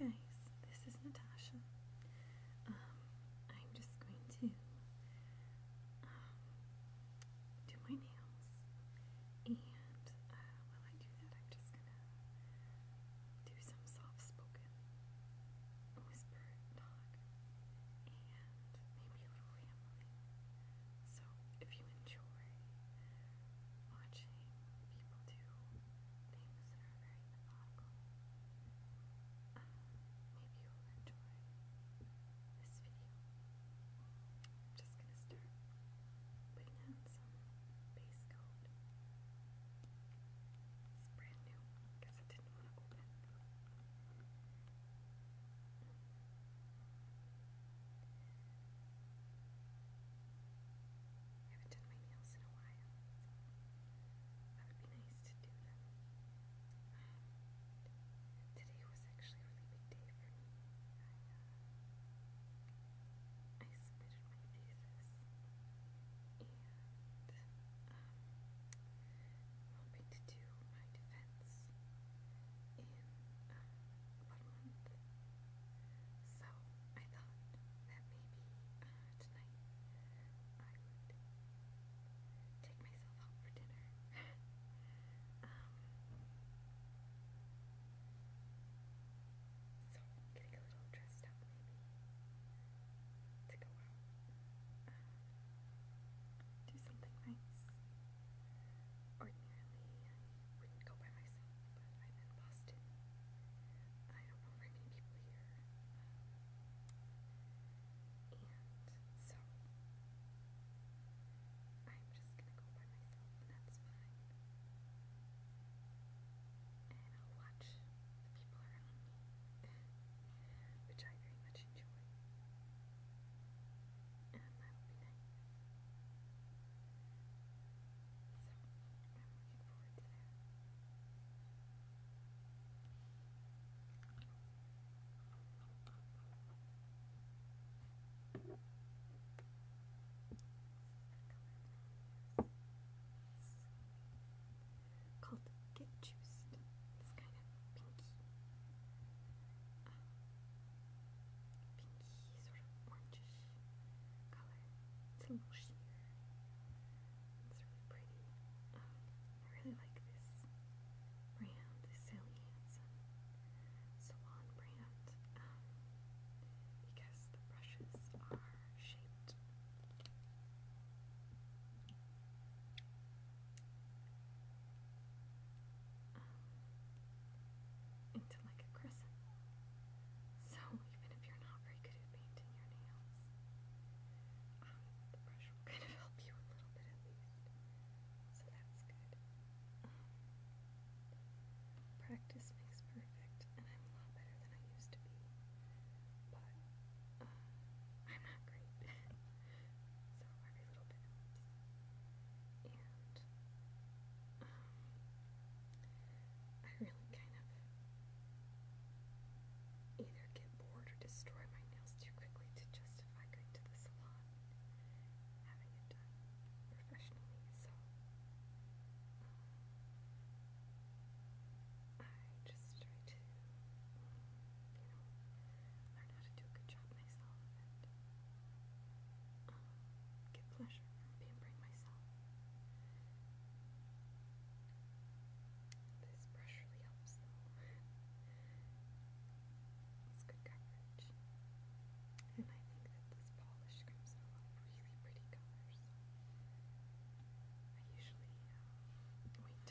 Hi guys, this is Natasha. Um, I'm just going to um, do my nails, and uh, while I do that, I'm just gonna do some soft-spoken whisper talk and maybe a little rambling. So if you enjoy watching people do things that are very methodical, uh, maybe you'll enjoy this video. I'm just gonna start putting on some base coat. It's brand new because I didn't want to open. I haven't done my nails in a while, that would be nice to do them. Um, today was actually a really big day for me. I, uh, submitted my thesis, and um, I'm hoping to do my defense months in um, month. So I thought that maybe tonight uh, I would take myself out for dinner. so getting a little dressed up maybe to go out. Um, do something nice. Ordinarily, I wouldn't go by myself, but I'm in Boston. I don't know very many people here. and so, I'm just gonna go by myself, and that's fine. And I'll watch the people around me, which I very much to join. And that would be nice. So, I'm looking forward to that. This is a color I use. It's called Get Juiced. It's kind it's a little sheer. It's really pretty. I really like this brand, this Sally Hansen Salon brand, because the brushes are shaped into like a crescent. So even if you're not very good at painting your nails, um, the brush will kind of help you a little bit at least. So that's good. Practice makes perfect, and I'm a lot better than I used to be. But um, I'm not great. So every little bit helps. And um, I really kind of either get bored or destroy my nails too quickly to justify going to the salon having it done professionally. So um, I just try to learn how to do a good job myself get pleasure pampering myself. This brush really helps though. good coverage. And I think that this polish comes in really pretty colors. I usually uh, wait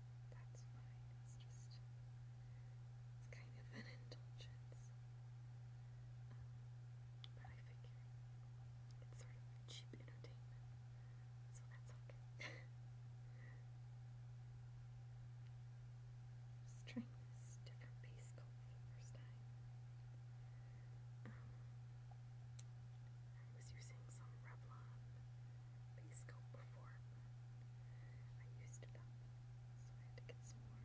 that's fine. It's just, it's kind of an indulgence. Um, but I figure it's sort of cheap entertainment, so that's okay. trying this different base for the first time. Um, I was using some Revlon base coat before, I used up, so I had to get some more.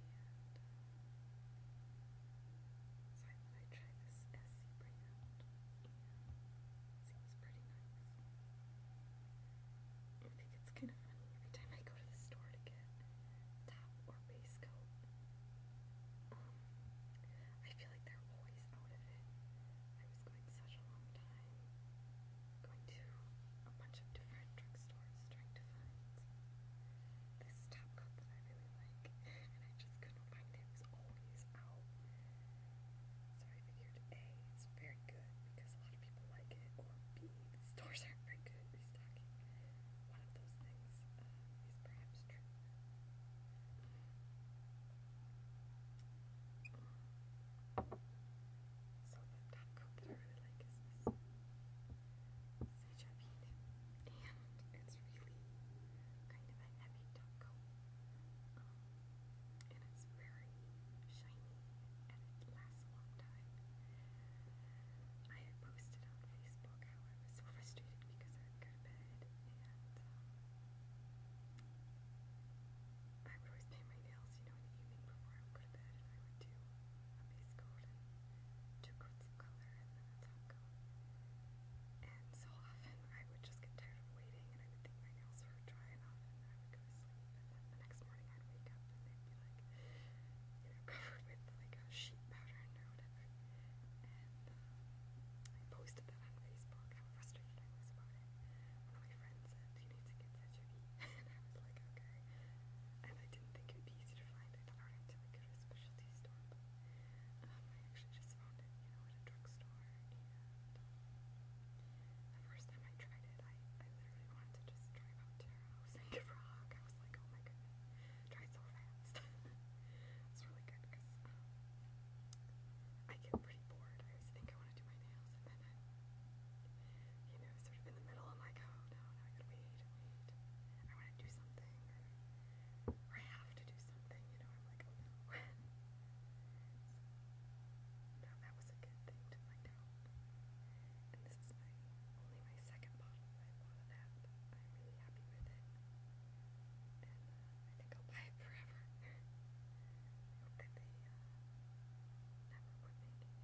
Uh, so I thought I'd try this SC brand. It seems pretty nice. I think it's kind of funny every time I go to the store to get top or base coat. Um, I feel like they're always out of it. I was going such a long time, going to a bunch of different drugstores trying to find this top coat that I really like, and I just couldn't find it. It always out. So I figured A, it's very good because a lot of people like it, or B, stores aren't very good at restocking. One of those things uh, is perhaps true. So the top coat that I really like is this Seja and it's really kind of a heavy top coat. Um, and it's very shiny and it lasts a long time. I had posted on Facebook how I was so frustrated because I go I would always paint my nails, you know, in the evening before I would go to bed, I would do a base coat two coats of color, and then a top coat. And so often I would just get tired of waiting, and I would think my nails were dry enough, and I would go to sleep, and then the next morning I'd wake up, and they'd be like, you know, covered with like a sheet pattern um, posted that on Facebook, how frustrated I was about it. One of my friends said, you need to get such a and I was like, okay. And I didn't think it would be easy to find. I thought I would have to go to a specialty store, um, I actually just found it, you know, at a drugstore. And um, the first time I tried it, I, literally wanted to just drive up to and give her a hug. I was like, oh my goodness. Tried so fast. it's really good because I get pretty bored. I always think I want to do my nails, and then you know, sort of in the middle, I'm like, oh no, no, I gotta wait, wait. I want to do something, or, I have to do something, you know, I'm like, oh no. that was a good thing And this is my only my second bottle I bought of that. I'm really happy with it. I think I'll buy it forever. I hope that they never quit making it. It's funny when I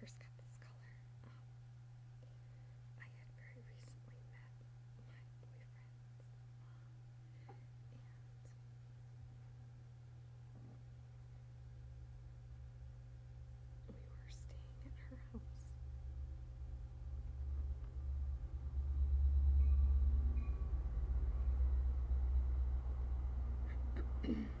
first got this color. I had very recently met my boyfriend we were staying at her house.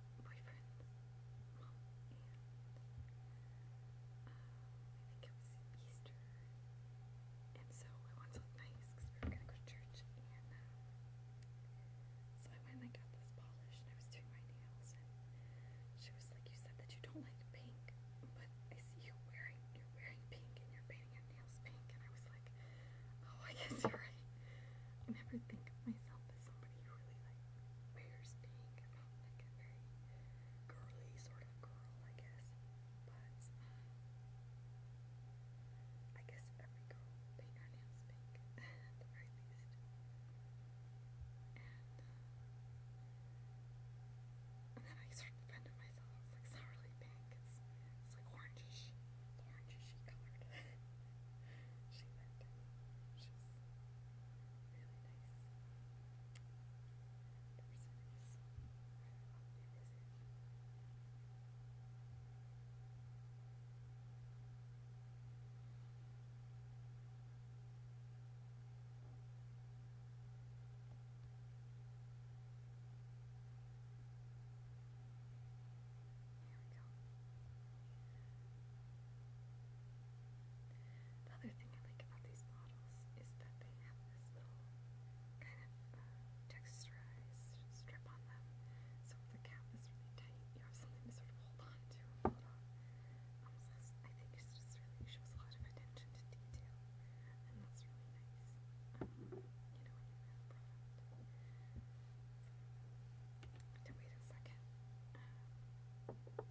boyfriend's mom, and uh, I think it was Easter, and so I wanted to look nice because we were going to go to church, and um, so I went and I got this polish, and I was doing my nails, and she was like, you said that you don't like pink, but I see you wearing, you're wearing pink, and you're painting your nails pink, and I was like, like, oh, I guess you're right. I never think of myself as somebody who really like pink. I'm not like a very girly sort of girl, I guess. But I guess every girl paint her nails pink uh, And then I sort of myself. it's not really pink. It's, it's like orangish, orangish colored. she meant it, which is really nice. The other thing I like about these bottles is that they have this little kind of uh, texturized strip on them. So if the cap is really tight, you have something to sort of hold on to um, I think it's just really shows a lot of attention to detail, and that's really nice. Um, you know, to wait a second um, before I do that. So. Okay.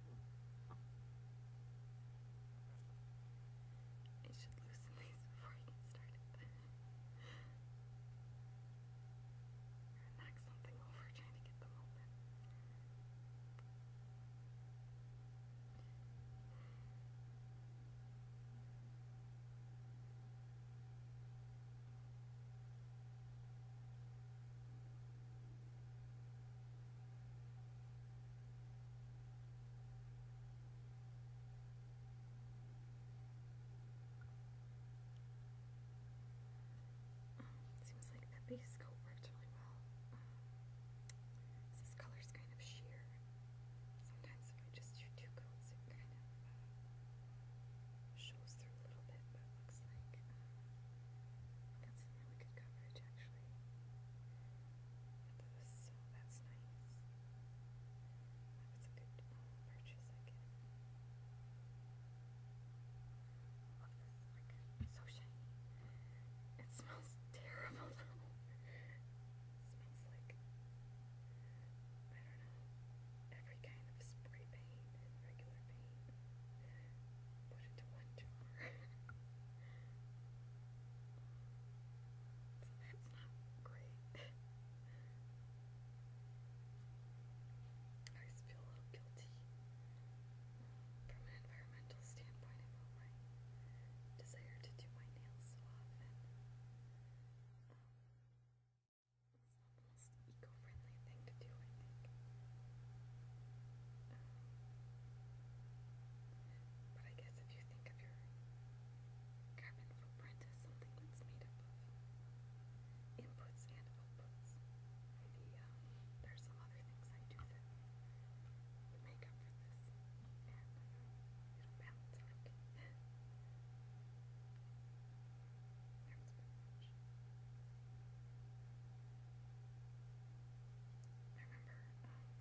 I should loosen these before I get started. or something over trying to get them open. Seems like that base coat worked really well. This color's kind of sheer. Sometimes if I just do two coats, it kind of uh, shows through a little bit, but looks like uh, really good coverage actually so that's nice. That a good purchase, I guess. so shiny. It smells terrible smells like I don't know, every kind of spray paint and regular paint. Put into one jar. So that's not great. I always feel a little guilty from an environmental standpoint about my desire to do my nails so often. Um, it's not the most eco-friendly thing to do, I think. But I guess if you think of your carbon footprint as something that's made of inputs and outputs, um, there's some other things I do that make up for this, I remember um,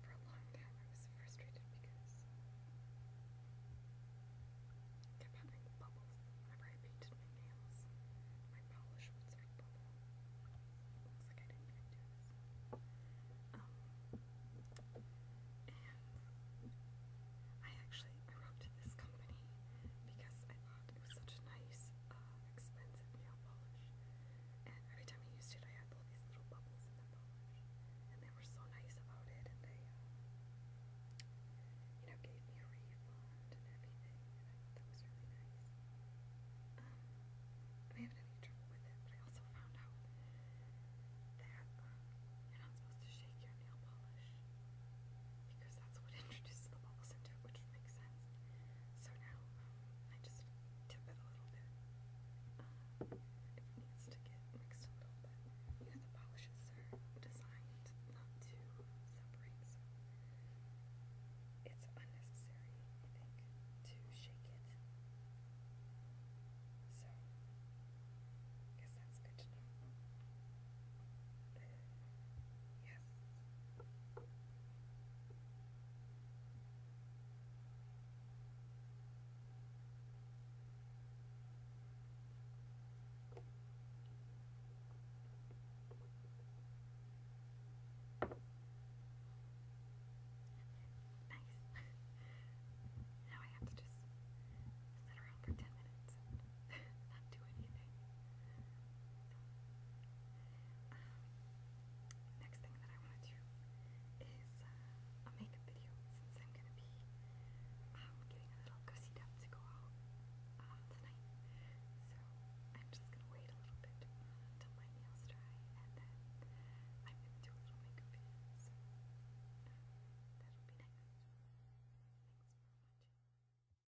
for a long time I was frustrated because uh, I kept having bubbles whenever I painted my nails. My polish would sort of Looks like I didn't even do this. Um, and I actually I wrote to this company because I thought it was such a nice uh, expensive nail polish. And every time I used it, I had all these little bubbles in the polish. And they were so nice about it, and they, uh, you know, gave me a refund and everything. And I thought that was really nice. Um, I haven't had any trouble with it, but I also found out that um, you're not supposed to shake your nail polish because that's what introduces the bubbles into it, which makes sense. So now I just tip it a little bit. it needs to get mixed a little bit. You know, the polishes are designed not to separate, it's unnecessary, I think, to shake it. So, I guess that's good to know. yeah, Nice. now I have to just sit around for 10 minutes and not do anything. next thing that I want to do is uh, a makeup video since I'm gonna be um, getting a little gussied up to go out uh, tonight. So I'm just gonna wait a little bit until my nails dry and then I'm gonna do a little makeup video. that'll be next. Thanks for watching.